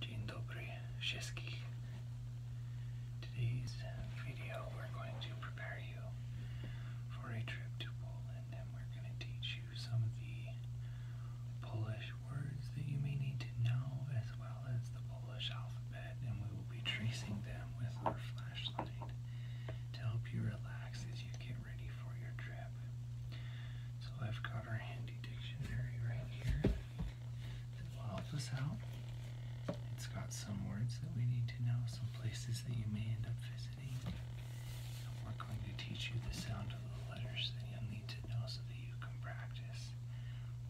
Dzień dobry wszystkich. Today's video we're going to prepare you for a trip to Poland and we're going to teach you some of the Polish words that you may need to know as well as the Polish alphabet and we will be tracing them with our flashlight to help you relax as you get ready for your trip. So I've our handy dictionary right here that will help us out. It's got some words that we need to know, some places that you may end up visiting. we're going to teach you the sound of the letters that you'll need to know so that you can practice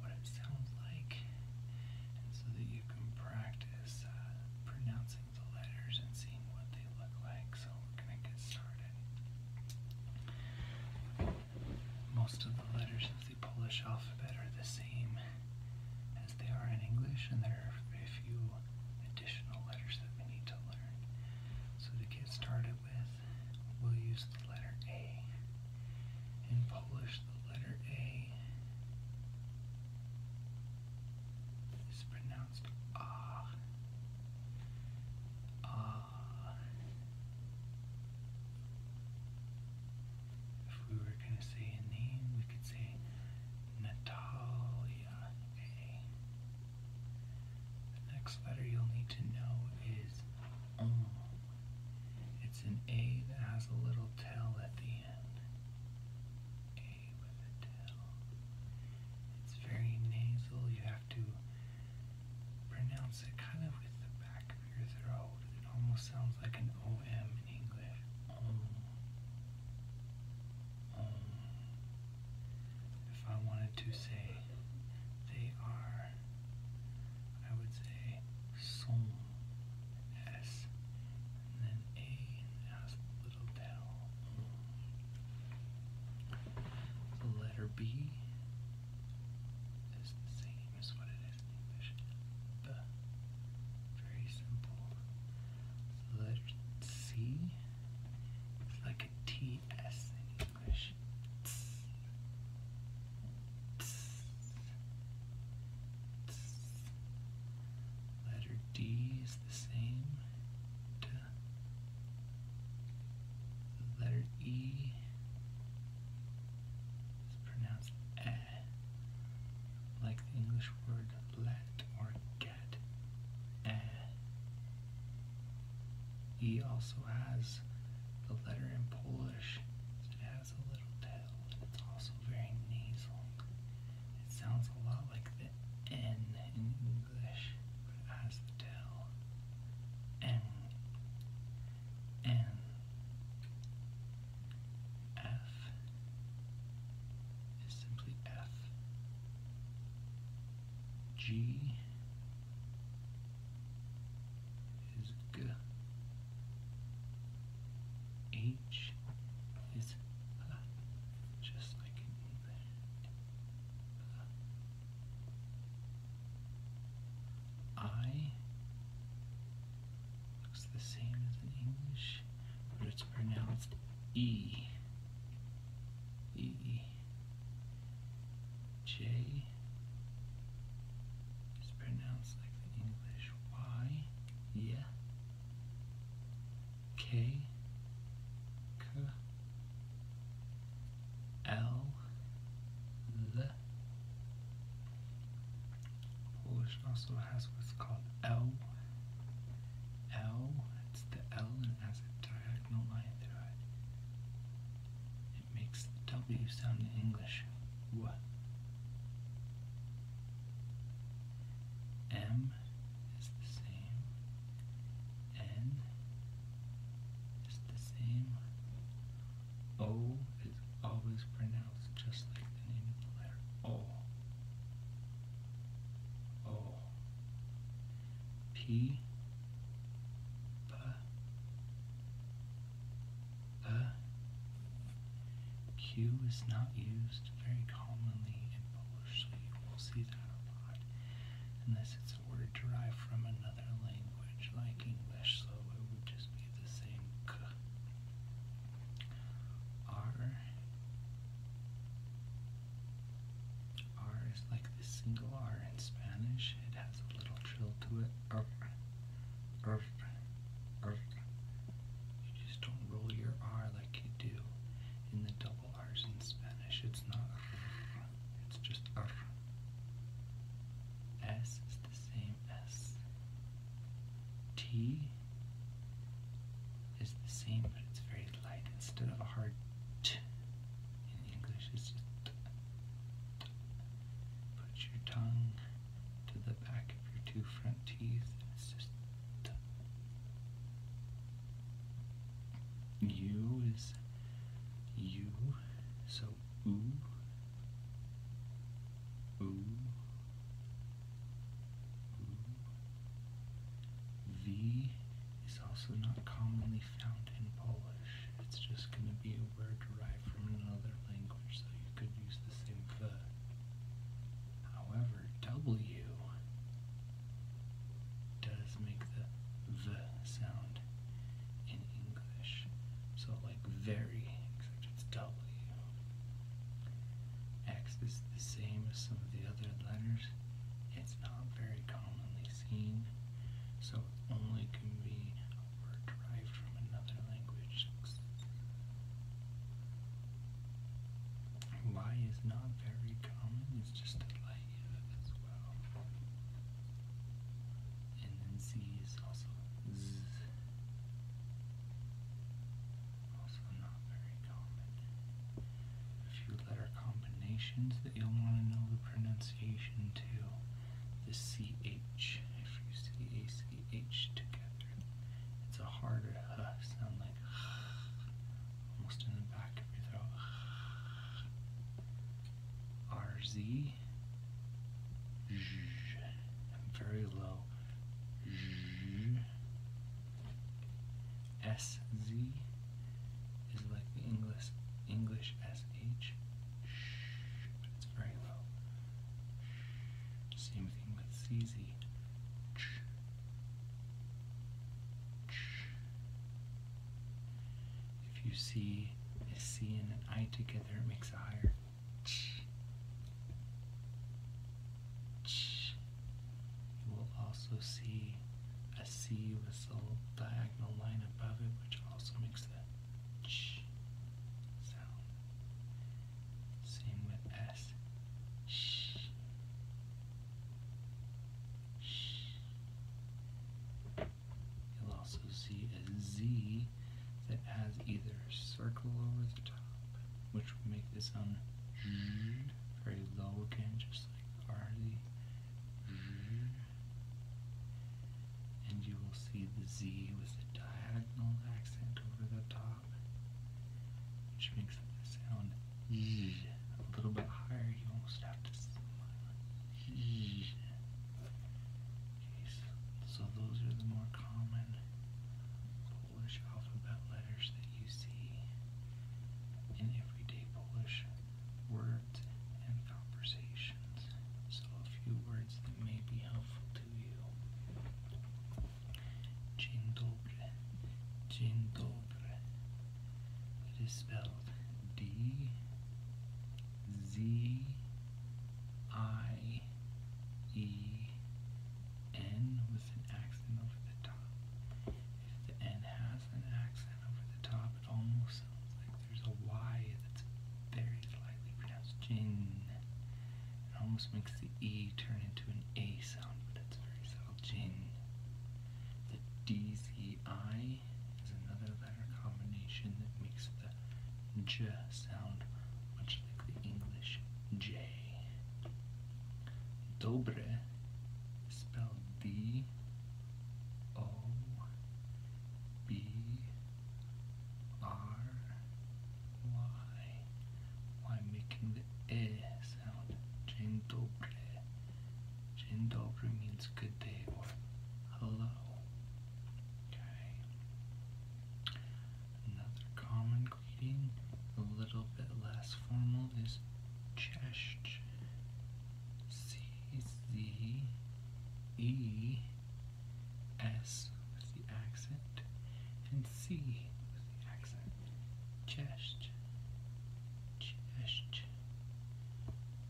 what it sounds like and so that you can practice uh, pronouncing the letters and seeing what they look like. So we're going to get started. Most of the letters of the Polish alphabet are the same as they are in English, and there are a few additional letters that we need to learn. So to get started with, we'll use the letter A. In Polish, the letter A is pronounced Ah. If we were going to say a name, we could say Natalia The next letter you'll need to know is OM. It's an A that has a little tail at the end. A with a tail. It's very nasal. You have to pronounce it kind of with the back of your throat. It almost sounds like an OM in English. Om. Oh. Oh. If I wanted to say they are, I would say som. And then A and a little down letter B is the same as what it is in English. Very simple. letter C is like a T S in English. Letter D is the same. The letter E is pronounced eh, like the English word let or get. E also has the letter in Polish, so it has a little tail, it's also very nasal. It sounds a lot like the N in English, but it has the tail. N N F is simply F G is G H is uh, just like in I looks the same as English, but it's pronounced E. E. J is pronounced like the English Y. Yeah. K. K. L Polish also has what's called L L it's the L and it has a diagonal line through it. It makes the W sound in English. What? is the same. N is the same. O is always pronounced just like the name of the letter O. O. P. P. P. Q is not used very commonly in Polish, so you will see that a lot unless it's a derived from another language like English, so it would just be the same k. R. R is like the single R in Spanish. It has a little trill to it. R. R. R. You just don't roll your R like you do in the double it's not it's just R. S is the same as is the same, but it's very light. Instead of a hard T in English, it's just Put your tongue to the back of your two front teeth, and it's just U is U, so oo, oo, V is also not commonly found in Polish. It's just going to be a word derived from another language, so you could use the same v. However, W does make the v sound in English. So, like very, except it's W. X is the same as some of the other letters. It's not very commonly seen, so only can be a word derived from another language. Y is not very common, it's just a light. Yeah, that's and then C is also Also not very common. A few letter combinations that you'll want to know the pronunciation to. The CH. If you see ACH together, it's a harder H uh, sound like almost in the back of your throat. RZ. very low. SZ is like the English English SH, but it's very low. Same thing with CZ. If you see a C and an I together, it makes a higher. You will also see a C with a diagonal line above it, which also makes a sound. Same with S. You'll also see a Z that has either a circle over the top, which will make the sound very low again, just like R Z. And you will see the Z with a diagonal accent over the top, which makes the sound so those are the more common Polish alphabet letters that you see in everyday Polish words and conversations. So a few words that may be helpful to you. Dzień dobry. It is spelled D Z I E N with an accent over the top. If the N has an accent over the top, it almost sounds like there's a Y that's very lightly pronounced gin. It almost makes the E turn into an A sound, but it's very subtle. Gin. The D Z the I is another letter combination that makes the J sound, much like the English J. Dobre spelled D O B R Y, while making the E sound. Dzień Dzień dobry means good day or hello. Another common greeting, a little bit less formal, is Cześć. C Z E S with the accent and C with the accent. Just, just,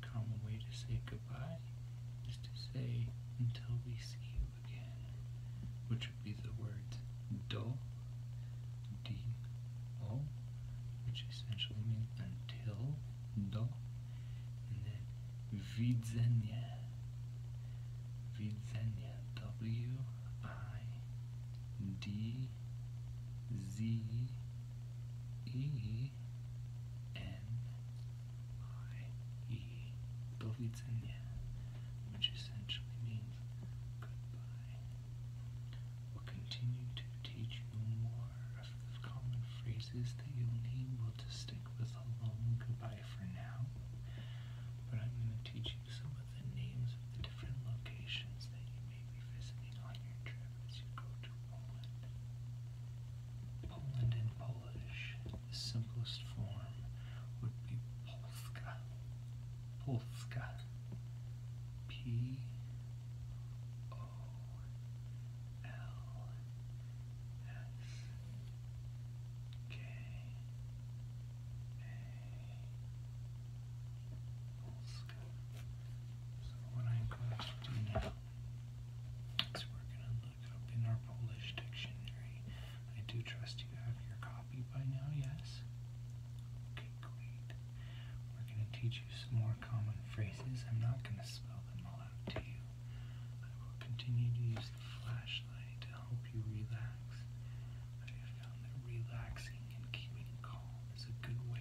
calm way to say goodbye is to say until we see you again, which would be the words "do," dull, d o, which essentially means until, do, then widzenia, widzenia, w i d Z E N I E which essentially means goodbye. We'll continue to teach you more of the common phrases that you'll need. We'll just stick with a long goodbye for now. But I'm going to teach you some of the names of the different locations that you maybe visiting on your trip as you go to Poland. Poland in Polish, the simplest form would be Polska. P O L S K A Polska. So what I'm going to do now is we're going to look up in our Polish dictionary. I do trust you have your copy by now, yes? Okay, great. We're going to teach you some more common phrases. I'm not going to spell them all out to you. I will continue to use the flashlight to help you relax. I have found that relaxing and keeping calm is a good way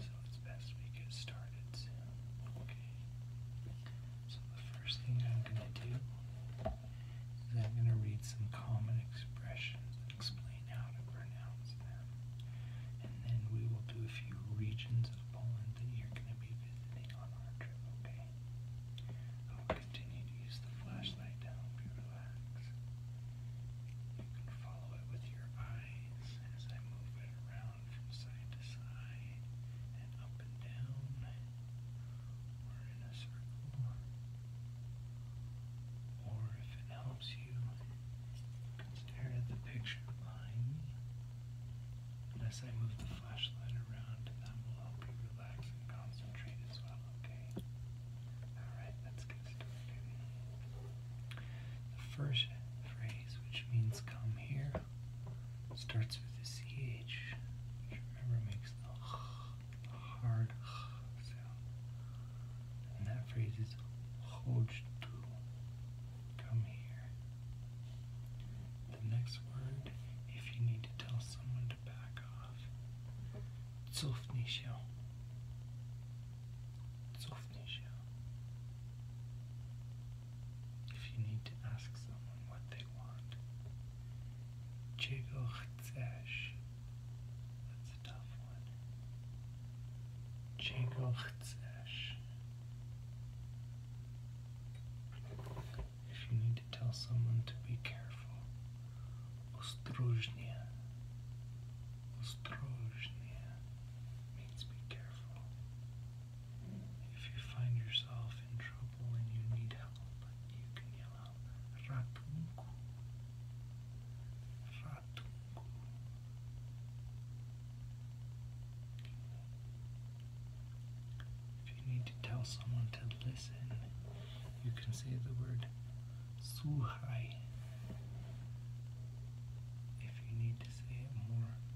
So it's best we get started Okay. So the first thing I'm going to do is I'm going to read some common expressions and explain how to pronounce them. And then we will do a few regions of Poland that you're going to be visiting on our trip, okay? I'll continue to use the flashlight to help you relax. You can follow it with your eyes as I move it around or if it helps you, you can stare at the picture behind me. Unless I move the flashlight around, that will help you relax and concentrate as well, okay? Alright, let's get started. The first phrase which means come here. Starts with the CH, which remember makes the hard sound. And that phrase is to Come here. The next word, if you need to tell someone to back off, Zufnisho. Zufnisho. If you need to ask someone what they want, czego chcesz? That's a tough one. Czego chcesz? If you need to tell someone to be careful, ostrożnie. Ostrożnie be careful. If you find yourself in trouble and you need help, you can yell out Ratunku. Ratunku. If you need to tell someone to listen, you can say the word Suhai. If you need to say it more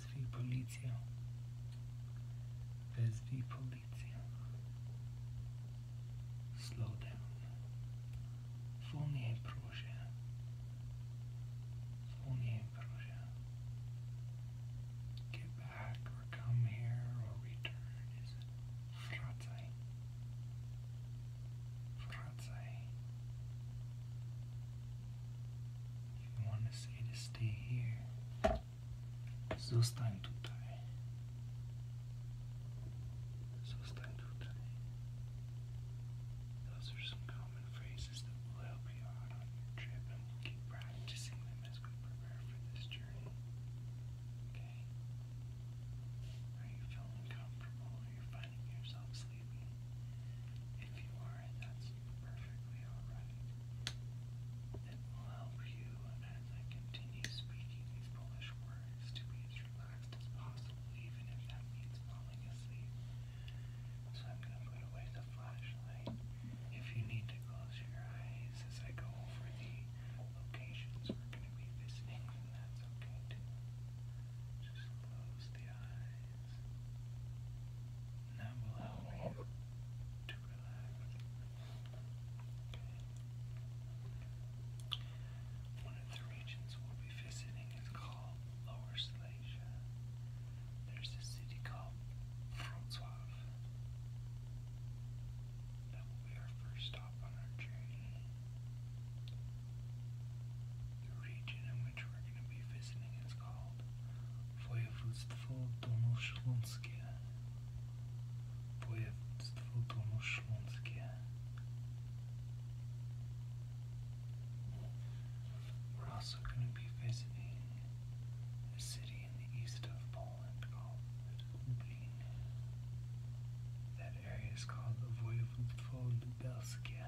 Wezwij policję. Wezwij policję. Slow down. Wolniej proszę. Wolniej proszę. Get back or come here or return is wracaj. Wracaj. If you want to say to stay here, zostań tutaj. Zostań tutaj. Those are some common phrases that will help you on your trip, and we keep practicing them as we prepare for this journey. Okay? Are you feeling comfortable? Are you finding yourself sleepy. If you are that's perfectly alright. It will help you as I continue speaking these Polish words to be as relaxed as possible, even if that means falling asleep. So I'm going to put away the flashlight. If you need to close your eyes as I go over the locations we're going to be visiting, then that's okay too. Just close the eyes. One of the regions we'll be visiting is called Lower Silesia. There's a city called Wrocław. That will be our first stop on our journey. The region in which we're going to be visiting is called wojewodztwo Dolnośląskie We're also going to be visiting a city in the east of Poland called Lublin. That area is called the Województwo Lubelskie.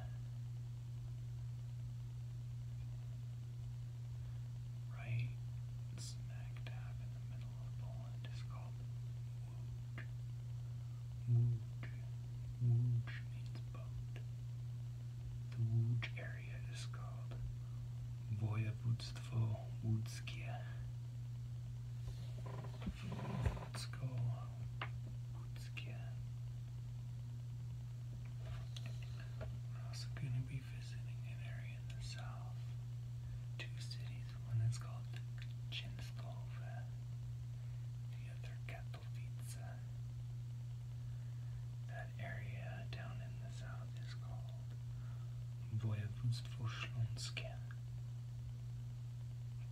Right smack dab in the middle of Poland is called Łódź. Łódź. Łódź means boat. The Łódź area is called Województwo Łódzkie. Województwo Łódzkie. We're also going to be visiting an area in the south. Two cities, one that's called Chinskova, the other Katowice. That area down in the south is called Voyevudstvo Shlonskie.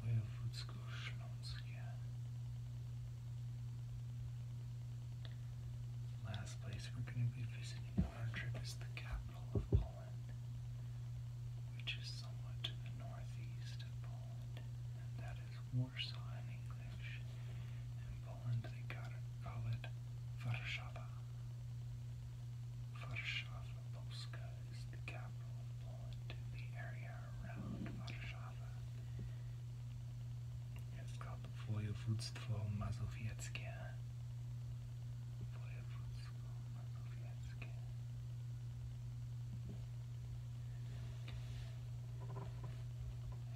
Voyevudsko Shlonskie last place we're going to be visiting on our trip is the capital of Poland, which is somewhat to the northeast of Poland, and that is Warsaw in English. In Poland they call it Warszawa. Warszawa Polska is the capital of Poland. The area around Warszawa. Skop województwo mazowieckie. Województwo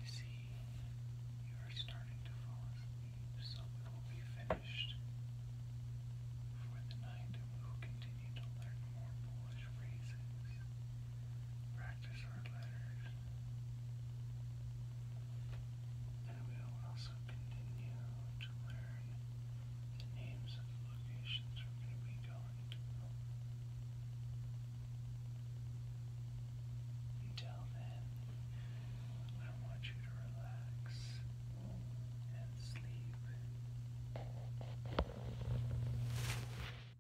I see you are starting to fall asleep, so we will be finished for the night we will continue to learn more Polish phrases practice our letters. And we will also continue to learn the names of the locations we're going to be going to. Until then, I want you to relax and sleep.